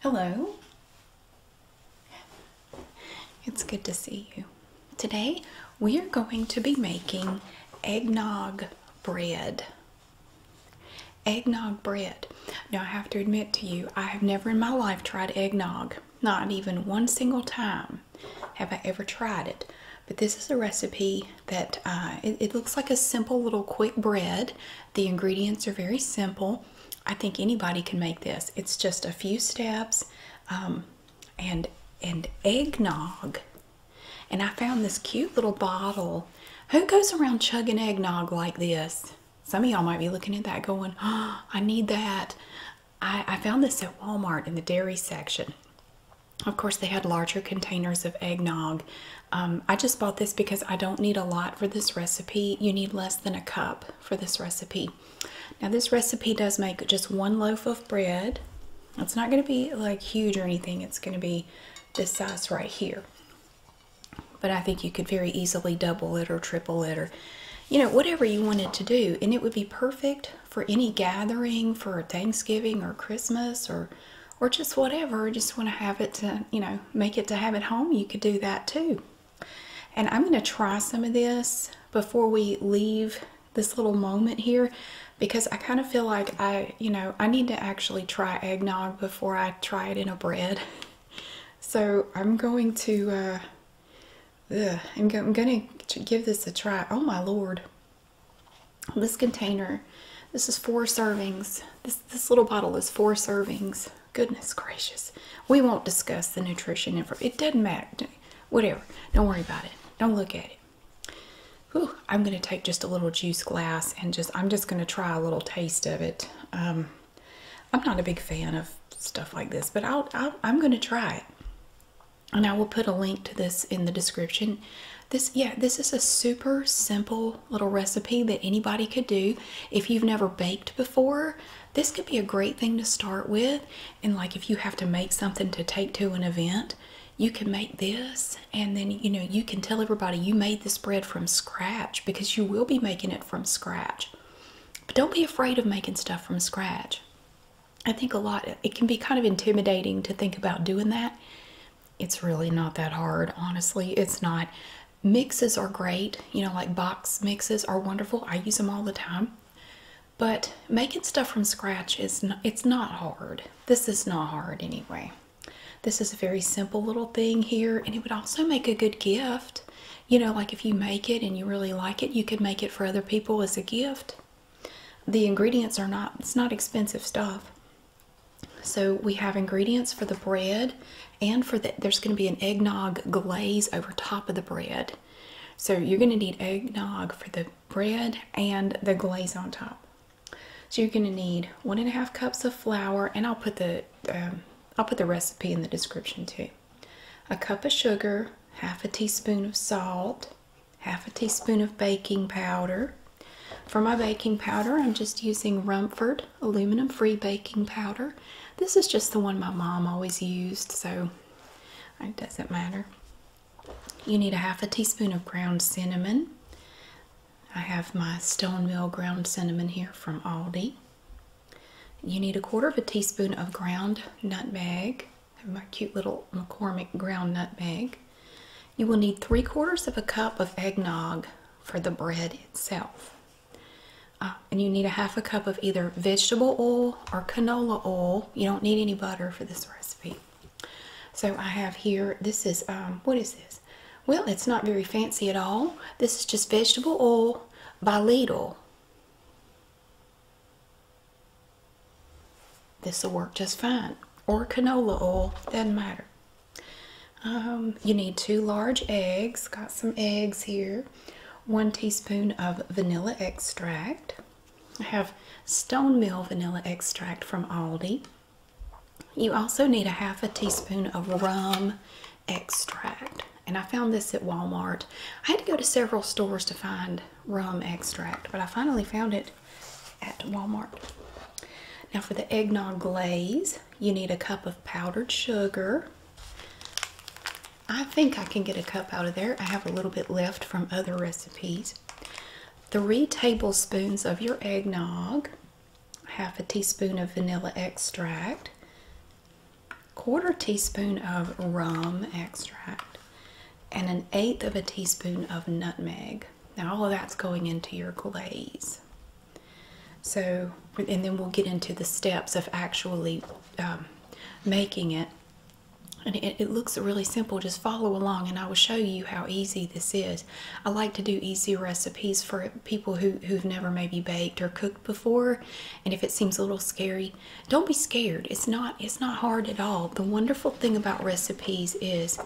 Hello. It's good to see you. Today we are going to be making eggnog bread. Eggnog bread. Now I have to admit to you, I have never in my life tried eggnog. Not even one single time have I ever tried it. But this is a recipe that uh, it looks like a simple little quick bread the ingredients are very simple. I think anybody can make this. It's just a few steps um, and and eggnog. And I found this cute little bottle. Who goes around chugging eggnog like this? Some of y'all might be looking at that going, I need that. I found this at Walmart in the dairy section. Of course, they had larger containers of eggnog um, I just bought this because I don't need a lot for this recipe. You need less than a cup for this recipe. Now this recipe does make just one loaf of bread. It's not going to be like huge or anything. It's going to be this size right here. But I think you could very easily double it or triple it or, you know, whatever you wanted to do. And it would be perfect for any gathering for Thanksgiving or Christmas or or just whatever, just want to have it to, you know, make it to have at home, you could do that too. And I'm going to try some of this before we leave this little moment here because I kind of feel like I, you know, I need to actually try eggnog before I try it in a bread. So I'm going to, uh, I'm, I'm going to give this a try. Oh my lord. This container, this is four servings. This this little bottle is four servings. Goodness gracious. We won't discuss the nutrition info. It doesn't matter. Whatever. Don't worry about it. Don't look at it. I'm going to take just a little juice glass and just, I'm just going to try a little taste of it. Um, I'm not a big fan of stuff like this, but I'll I'm going to try it. And I will put a link to this in the description. This, yeah, this is a super simple little recipe that anybody could do. If you've never baked before, this could be a great thing to start with. And like if you have to make something to take to an event, you can make this and then you know you can tell everybody you made this bread from scratch because you will be making it from scratch. But don't be afraid of making stuff from scratch. I think a lot it can be kind of intimidating to think about doing that, it's really not that hard, honestly. It's not. Mixes are great, you know, like box mixes are wonderful. I use them all the time. But making stuff from scratch is it's not hard. This is not hard anyway. This is a very simple little thing here, and it would also make a good gift. You know, like if you make it and you really like it, you could make it for other people as a gift. The ingredients are not, it's not expensive stuff. So we have ingredients for the bread and for the there's going to be an eggnog glaze over top of the bread. So you're going to need eggnog for the bread and the glaze on top. So you're going to need one and a half cups of flour, and I'll put the um, I'll put the recipe in the description too. A cup of sugar, half a teaspoon of salt, half a teaspoon of baking powder. For my baking powder, I'm just using Rumford aluminum free baking powder. This is just the one my mom always used, so it doesn't matter. You need a half a teaspoon of ground cinnamon. I have my Stone Mill ground cinnamon here from Aldi. You need a quarter of a teaspoon of ground nutmeg. my cute little McCormick ground nutmeg. You will need three quarters of a cup of eggnog for the bread itself. Uh, and you need a half a cup of either vegetable oil or canola oil. You don't need any butter for this recipe. So I have here, this is, um, what is this? Well, it's not very fancy at all. This is just vegetable oil by Lidl. This will work just fine. Or canola oil, doesn't matter. Um, you need two large eggs. Got some eggs here. One teaspoon of vanilla extract. I have Stone Mill vanilla extract from Aldi. You also need a half a teaspoon of rum extract. And I found this at Walmart. I had to go to several stores to find rum extract, but I finally found it at Walmart. Now for the eggnog glaze, you need a cup of powdered sugar. I think I can get a cup out of there. I have a little bit left from other recipes. Three tablespoons of your eggnog, half a teaspoon of vanilla extract, quarter teaspoon of rum extract, and an eighth of a teaspoon of nutmeg. Now all of that's going into your glaze. So, and then we'll get into the steps of actually um, making it. And it, looks really simple. Just follow along and I will show you how easy this is. I like to do easy recipes for people who've never maybe baked or cooked before. And if it seems a little scary, don't be scared. It's not, it's not hard at all. The wonderful thing about recipes is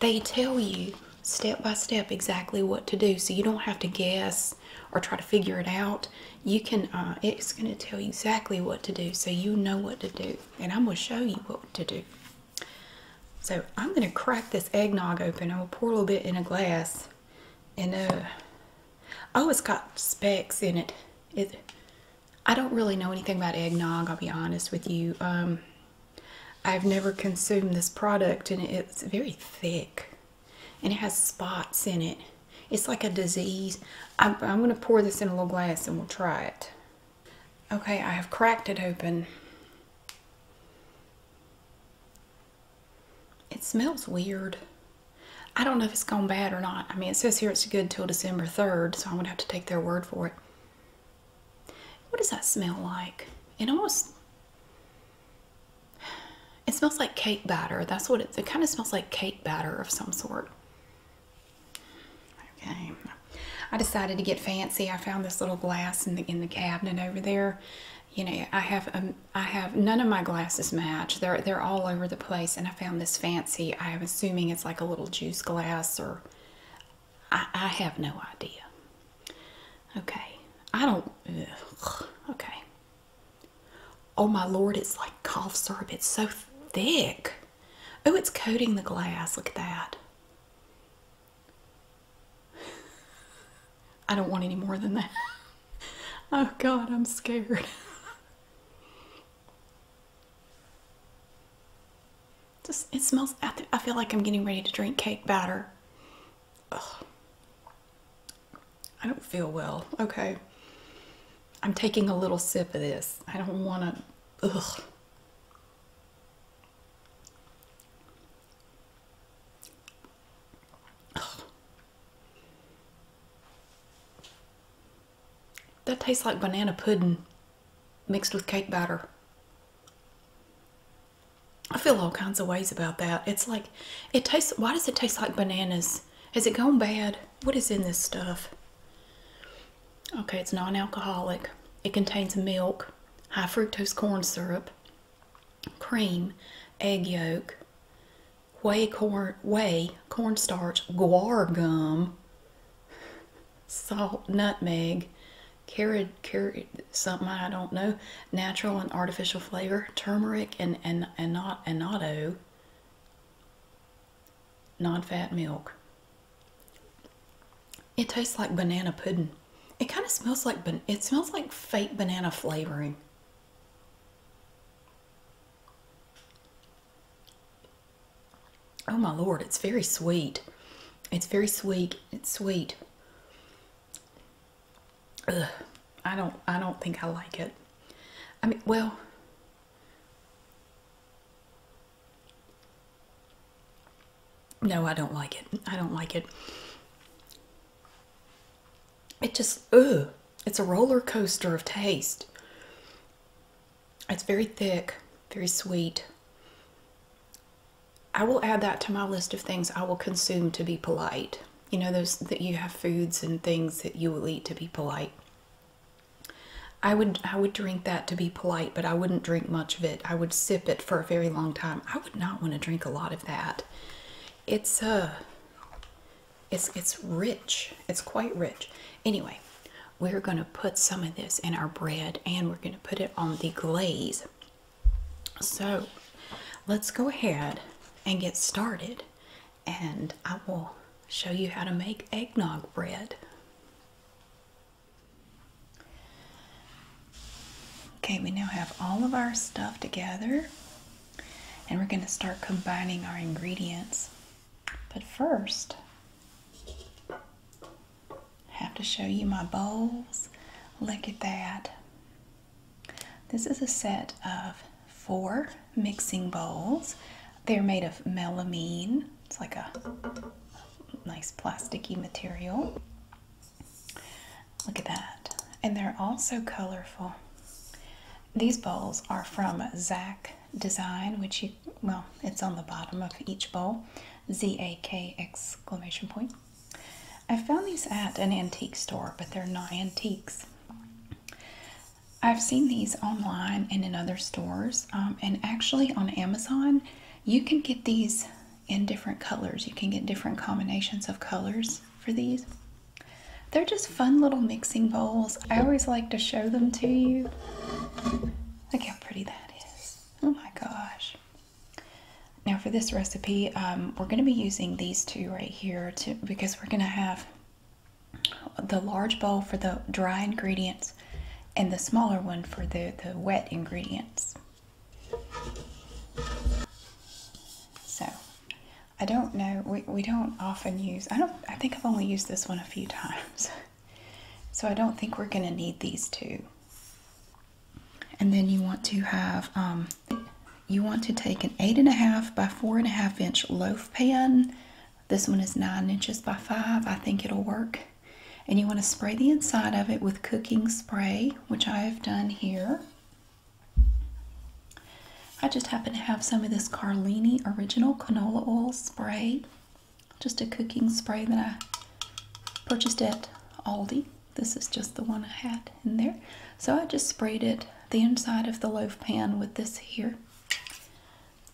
they tell you step by step exactly what to do so you don't have to guess or try to figure it out you can uh, it's going to tell you exactly what to do so you know what to do and i'm going to show you what to do so i'm going to crack this eggnog open i am gonna pour a little bit in a glass and uh oh it's got specks in it it i don't really know anything about eggnog i'll be honest with you um I've never consumed this product and it's very thick and it has spots in it. It's like a disease. I'm, going to pour this in a little glass and we'll try it. Okay, I have cracked it open. It smells weird. I don't know if it's gone bad or not. I mean, it says here it's good till December 3rd, so I'm going to have to take their word for it. What does that smell like? It almost it smells like cake batter. That's what it kind of smells like cake batter of some sort. Okay. I decided to get fancy. I found this little glass in the in the cabinet over there. You know, I have um, I have none of my glasses match. They're they're all over the place, and I found this fancy. I am assuming it's like a little juice glass or I, have no idea. Okay. I don't. okay. Oh my lord, it's like cough syrup. It's so thick. Oh, it's coating the glass. Look at that. I don't want any more than that. oh god, I'm scared. it smells. I, feel like I'm getting ready to drink cake batter. I don't feel well. Okay. I'm taking a little sip of this. I don't want to. Ugh. That tastes like banana pudding mixed with cake batter. I feel all kinds of ways about that. It's like, it tastes, why does it taste like bananas? Has it gone bad? What is in this stuff? Okay, it's non-alcoholic. It contains milk, high fructose corn syrup, cream, egg yolk, whey corn, whey, cornstarch, guar gum, salt, nutmeg, carrot, carrot, something I don't know, natural and artificial flavor, turmeric, and and and not and auto, non-fat milk. It tastes like banana pudding. It kind of smells like it smells like fake banana flavoring. Oh my lord, it's very sweet. It's very sweet. It's sweet. I don't I don't think I like it. I mean, well, No, I don't like it. I don't like it. It just, ugh. It's a roller coaster of taste. It's very thick, very sweet. I will add that to my list of things I will consume to be polite. You know, those that you have foods and things that you will eat to be polite. I would I would drink that to be polite, but I wouldn't drink much of it. I would sip it for a very long time. I would not want to drink a lot of that. It's uh it's it's rich. It's quite rich. Anyway, we're going to put some of this in our bread and we're going to put it on the glaze. So let's go ahead and get started, and I will show you how to make eggnog bread. Okay, we now have all of our stuff together, and we're going to start combining our ingredients. But first, have to show you my bowls. Look at that. This is a set of four mixing bowls. They're made of melamine. It's like a nice plasticky material. Look at that. And they're also colorful. These bowls are from Zach Design, which you well it's on the bottom of each bowl z-a-k exclamation point i found these at an antique store but they're not antiques i've seen these online and in other stores um, and actually on amazon you can get these in different colors you can get different combinations of colors for these they're just fun little mixing bowls i always like to show them to you look how pretty that is Oh my gosh. Now for this recipe, um, we're going to be using these two right here because we're going to have the large bowl for the dry ingredients and the smaller one for the, the wet ingredients. So I don't know, we, we don't often use, I don't, I think I've only used this one a few times. So I don't think we're going to need these two. And then you want to have, um, you want to take an eight and a half by four and a half inch loaf pan. This one is nine inches by five. I think it'll work. And you want to spray the inside of it with cooking spray, which I have done here. I just happen to have some of this Carlini original canola oil spray just a cooking spray that I purchased at Aldi. This is just the one I had in there. So I just sprayed it the inside of the loaf pan with this here.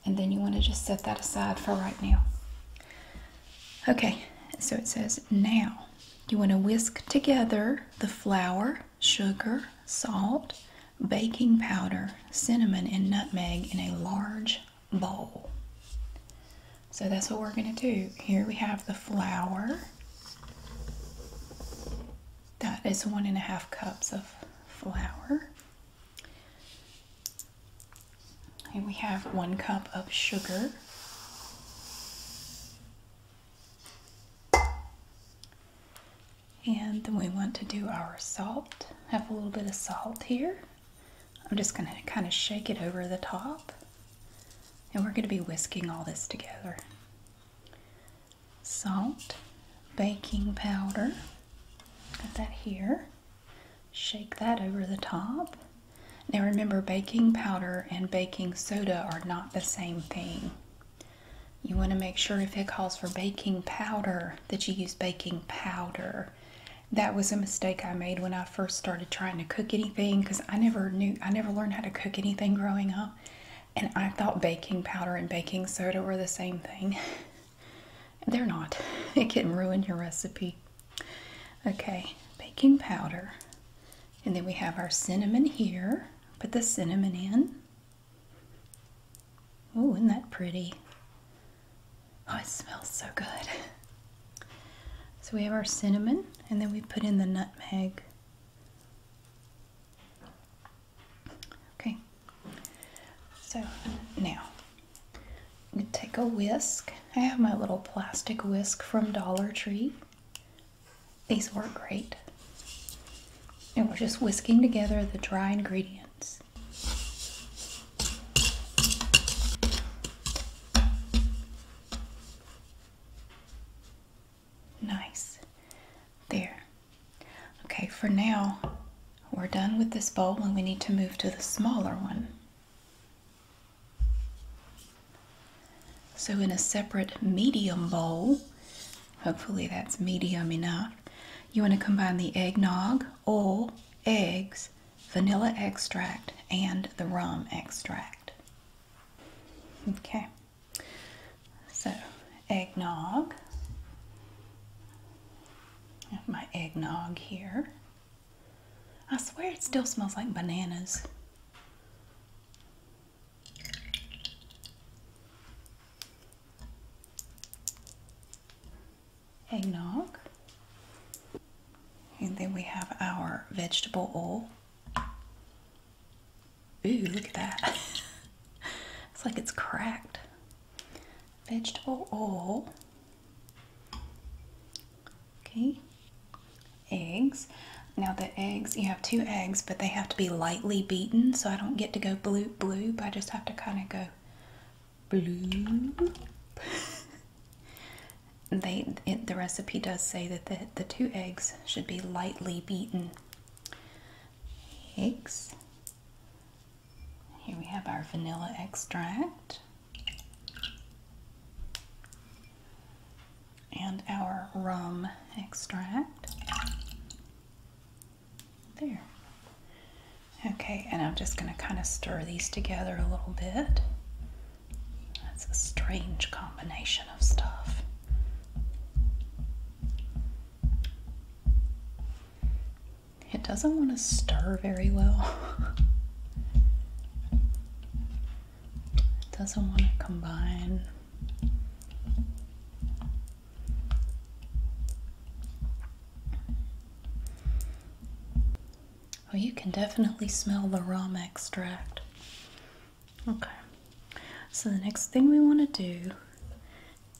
And then you want to just set that aside for right now. Okay, so it says now you want to whisk together the flour, sugar, salt, baking powder, cinnamon, and nutmeg in a large bowl. So that's what we're going to do. Here we have the flour. That is one and a half cups of flour. And we have one cup of sugar. And then we want to do our salt. Have a little bit of salt here. I'm just going to kind of shake it over the top. And we're going to be whisking all this together. Salt, baking powder, got that here. Shake that over the top. Now remember, baking powder and baking soda are not the same thing. You want to make sure if it calls for baking powder that you use baking powder that was a mistake I made when I first started trying to cook anything because I never knew, I never learned how to cook anything growing up. And I thought baking powder and baking soda were the same thing. They're not. It can ruin your recipe. Okay, baking powder. And then we have our cinnamon here. Put the cinnamon in. Oh, isn't that pretty? Oh, it smells so good. So we have our cinnamon, and then we put in the nutmeg. Okay, so now we take a whisk. I have my little plastic whisk from Dollar Tree. These work great. And we're just whisking together the dry ingredients. Nice. There. Okay, for now, we're done with this bowl and we need to move to the smaller one. So, in a separate medium bowl, hopefully that's medium enough, you want to combine the eggnog, oil, eggs, vanilla extract, and the rum extract. Okay, so eggnog. my eggnog here. I swear it still smells like bananas eggnog. And then we have our vegetable oil. Ooh, look at that. it's like it's cracked. Vegetable oil. Okay. Eggs. Now the eggs, you have two eggs, but they have to be lightly beaten, so I don't get to go blue blue, but I just have to kind of go they the recipe does say that the, the two eggs should be lightly beaten. Eggs. Here we have our vanilla extract and our rum extract. There. Okay, and I'm just going to kind of stir these together a little bit. That's a strange combination of stuff. It doesn't want to stir very well. it doesn't want to combine. Oh, you can definitely smell the rum extract. Okay, so the next thing we want to do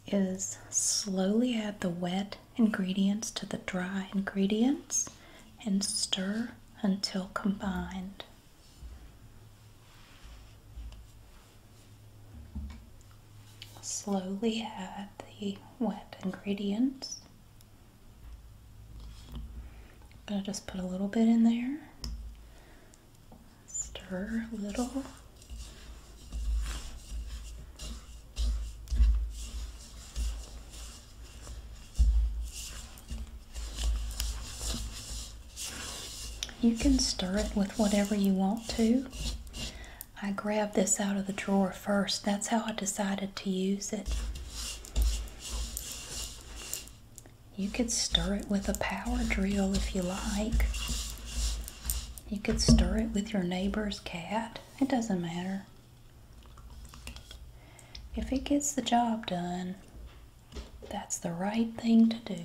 is slowly add the wet ingredients to the dry ingredients and stir until combined. Slowly add the wet ingredients. I'm going to just put a little bit in there. Stir a little. You can stir it with whatever you want to. I grabbed this out of the drawer first. That's how I decided to use it. You could stir it with a power drill if you like. You could stir it with your neighbor's cat. It doesn't matter. If it gets the job done, that's the right thing to do.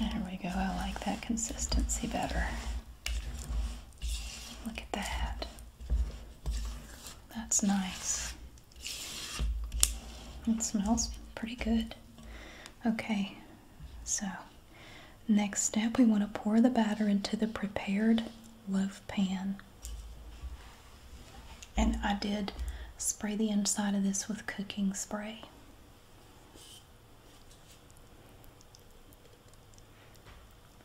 There we go, I like that consistency better. Look at that. That's nice. It smells pretty good. Okay, so next step we want to pour the batter into the prepared loaf pan. And I did spray the inside of this with cooking spray.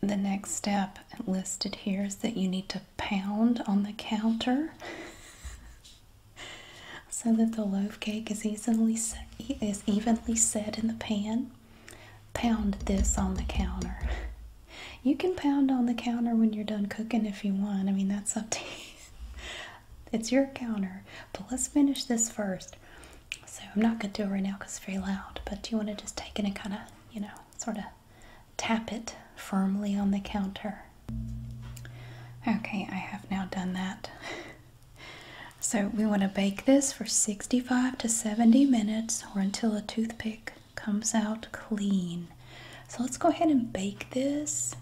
The next step listed here is that you need to pound on the counter so that the loaf cake is easily is evenly set in the pan pound this on the counter. You can pound on the counter when you're done cooking if you want. I mean, that's up to you. It's your counter. But let's finish this first. So I'm not going to do it right now because it's very loud. But you want to just take it and kind of, you know, sort of tap it firmly on the counter. Okay, I have now done that. So we want to bake this for 65 to 70 minutes or until a toothpick comes out clean. So let's go ahead and bake this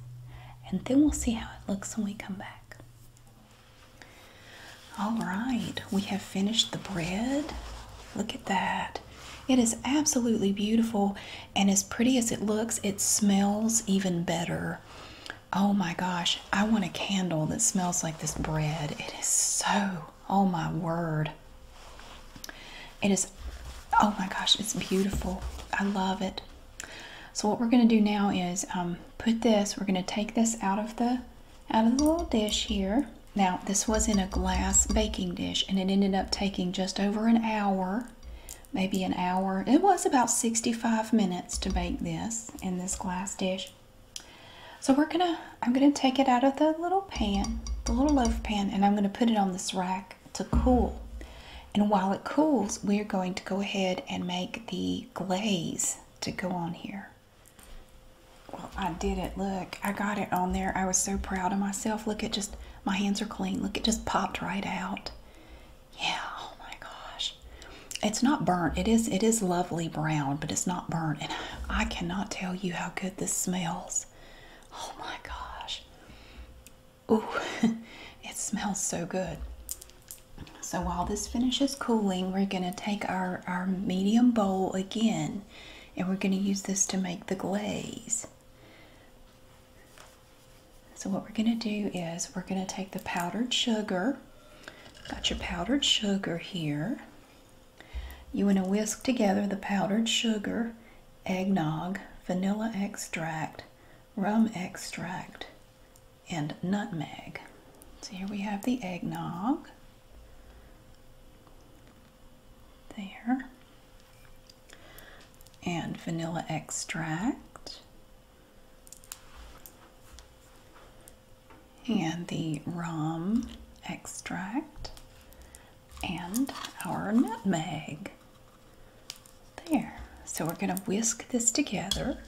and then we'll see how it looks when we come back. All right, we have finished the bread. Look at that. It is absolutely beautiful and as pretty as it looks, it smells even better. Oh my gosh, I want a candle that smells like this bread. It is so, oh my word. It is, oh my gosh, it's beautiful. I love it. So what we're going to do now is um, put this, we're going to take this out of the out of the little dish here. Now, this was in a glass baking dish and it ended up taking just over an hour, maybe an hour. It was about 65 minutes to bake this in this glass dish. So we're gonna, I'm gonna take it out of the little pan, the little loaf pan, and I'm gonna put it on this rack to cool. And while it cools, we're going to go ahead and make the glaze to go on here. Well, I did it. Look, I got it on there. I was so proud of myself. Look, at just, my hands are clean. Look, it just popped right out. Yeah, oh my gosh. It's not burnt. It is it is lovely brown, but it's not burnt. And I cannot tell you how good this smells. Oh my gosh. Ooh, it smells so good. So while this finishes cooling, we're gonna take our, our medium bowl again and we're gonna use this to make the glaze. So what we're gonna do is we're gonna take the powdered sugar Got your powdered sugar here. You want to whisk together the powdered sugar, eggnog, vanilla extract, rum extract, and nutmeg. So here we have the eggnog. There. And vanilla extract and the rum extract and our nutmeg. There. So we're going to whisk this together.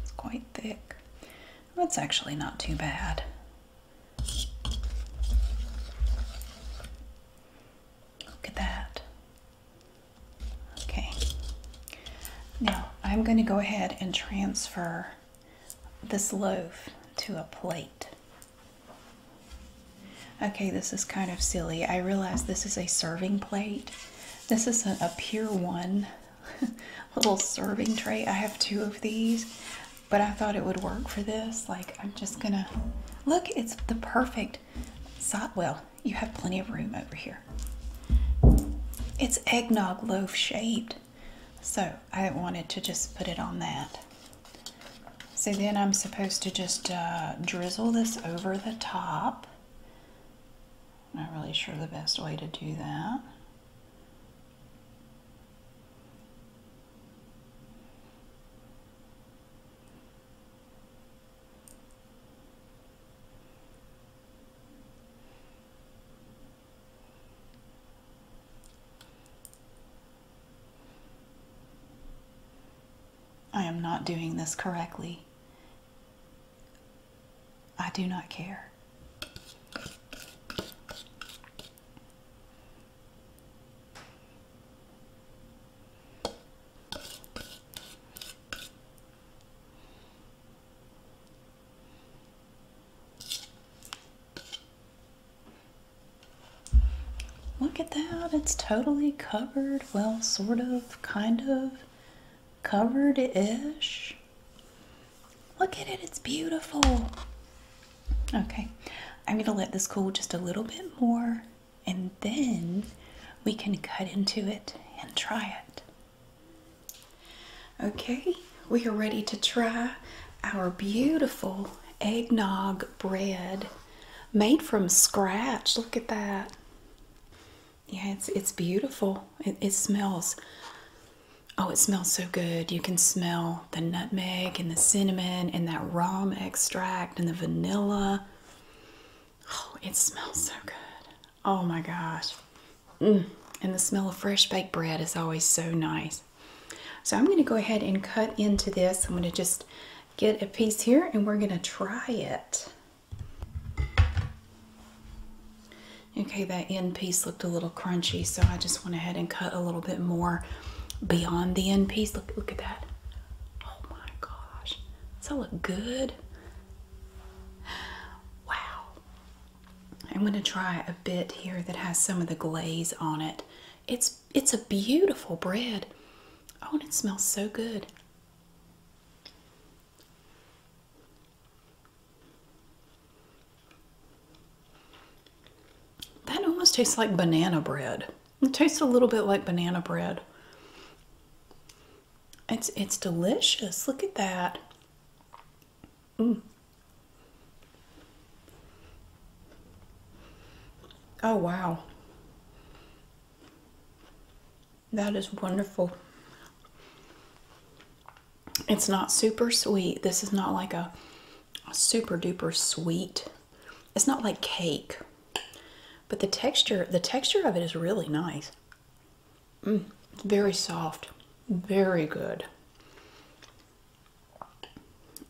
It's quite thick. That's actually not too bad. Look at that. Okay. Now I'm going to go ahead and transfer this loaf to a plate. Okay, this is kind of silly. I realize this is a serving plate. This is a, a Pier 1 little serving tray. I have two of these, but I thought it would work for this. Like, I'm just gonna, look, it's the perfect Sotwell, you have plenty of room over here. It's eggnog loaf shaped, so I wanted to just put it on that. So then I'm supposed to just uh, drizzle this over the top. Not really sure the best way to do that. I am not doing this correctly. I do not care. Look at that, it's totally covered. Well, sort of, kind of covered ish. Look at it, it's beautiful. Okay, I'm gonna let this cool just a little bit more and then we can cut into it and try it. Okay, we are ready to try our beautiful eggnog bread made from scratch. Look at that. Yeah, it's it's beautiful. It, it smells Oh, it smells so good. You can smell the nutmeg and the cinnamon and that rum extract and the vanilla. Oh, it smells so good. Oh my gosh. Mm. And the smell of fresh baked bread is always so nice. So I'm going to go ahead and cut into this. I'm going to just get a piece here and we're going to try it. Okay, that end piece looked a little crunchy, so I just went ahead and cut a little bit more beyond the end piece. Look, look at that. Oh my gosh. Does that look good? Wow. I'm going to try a bit here that has some of the glaze on it. It's it's a beautiful bread. Oh, and it smells so good. That almost tastes like banana bread. It tastes a little bit like banana bread. It's it's delicious. Look at that. Mm. Oh wow. That is wonderful. It's not super sweet. This is not like a super duper sweet it's not like cake, but the texture the texture of it is really nice. Mm, very soft, very good.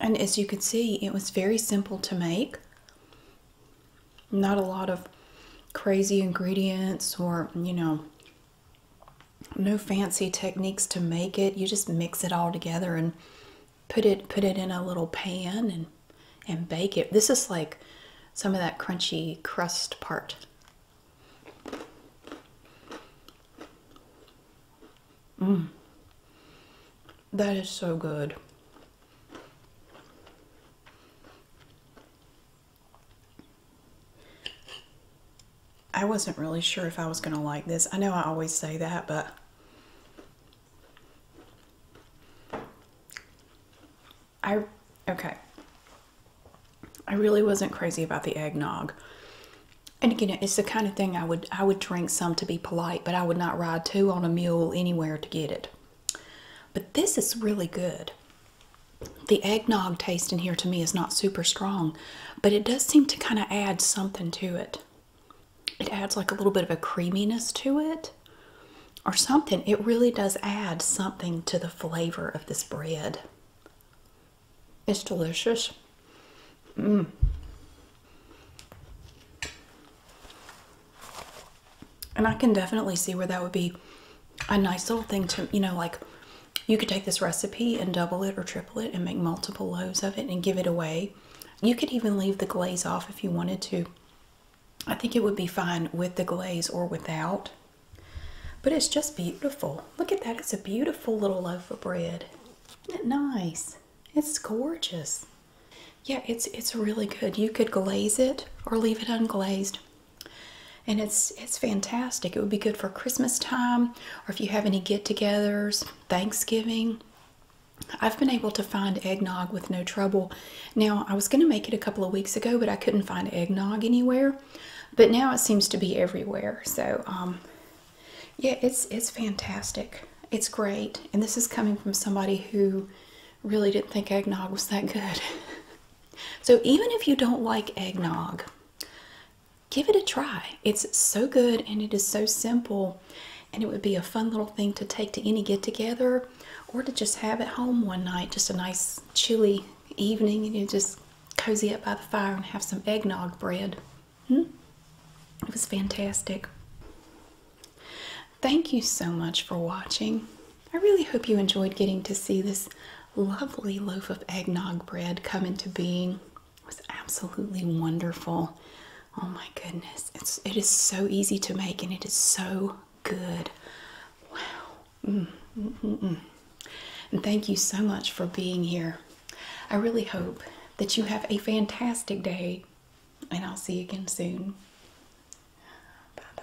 And as you can see, it was very simple to make. Not a lot of crazy ingredients or, you know, no fancy techniques to make it. You just mix it all together and put it put it in a little pan and and bake it. This is like some of that crunchy crust part. Mm. That is so good. I wasn't really sure if I was going to like this. I know I always say that, but I okay. I really wasn't crazy about the eggnog. And again, it's the kind of thing I would I would drink some to be polite, but I would not ride two on a mule anywhere to get it. But this is really good. The eggnog taste in here to me is not super strong, but it does seem to kind of add something to it it adds like a little bit of a creaminess to it or something. It really does add something to the flavor of this bread. It's delicious. Mm. And I can definitely see where that would be a nice little thing to, you know, like you could take this recipe and double it or triple it and make multiple loaves of it and give it away you could even leave the glaze off if you wanted to. I think it would be fine with the glaze or without. But it's just beautiful. Look at that. It's a beautiful little loaf of bread. Isn't it nice? It's gorgeous. Yeah, it's it's really good. You could glaze it or leave it unglazed. And it's it's fantastic. It would be good for Christmas time or if you have any get-togethers, Thanksgiving. I've been able to find eggnog with no trouble. Now, I was going to make it a couple of weeks ago, but I couldn't find eggnog anywhere. But now it seems to be everywhere. So, um, yeah, it's it's fantastic. It's great. And this is coming from somebody who really didn't think eggnog was that good. so, even if you don't like eggnog, give it a try. It's so good and it is so simple and it would be a fun little thing to take to any get together or to just have at home one night, just a nice chilly evening, and you just cozy up by the fire and have some eggnog bread. Hmm? It was fantastic. Thank you so much for watching. I really hope you enjoyed getting to see this lovely loaf of eggnog bread come into being. It was absolutely wonderful. Oh my goodness. It's so easy to make and it is so good. Wow. Mm, mm, mm, and thank you so much for being here. I really hope that you have a fantastic day and I'll see you again soon. Bye-bye.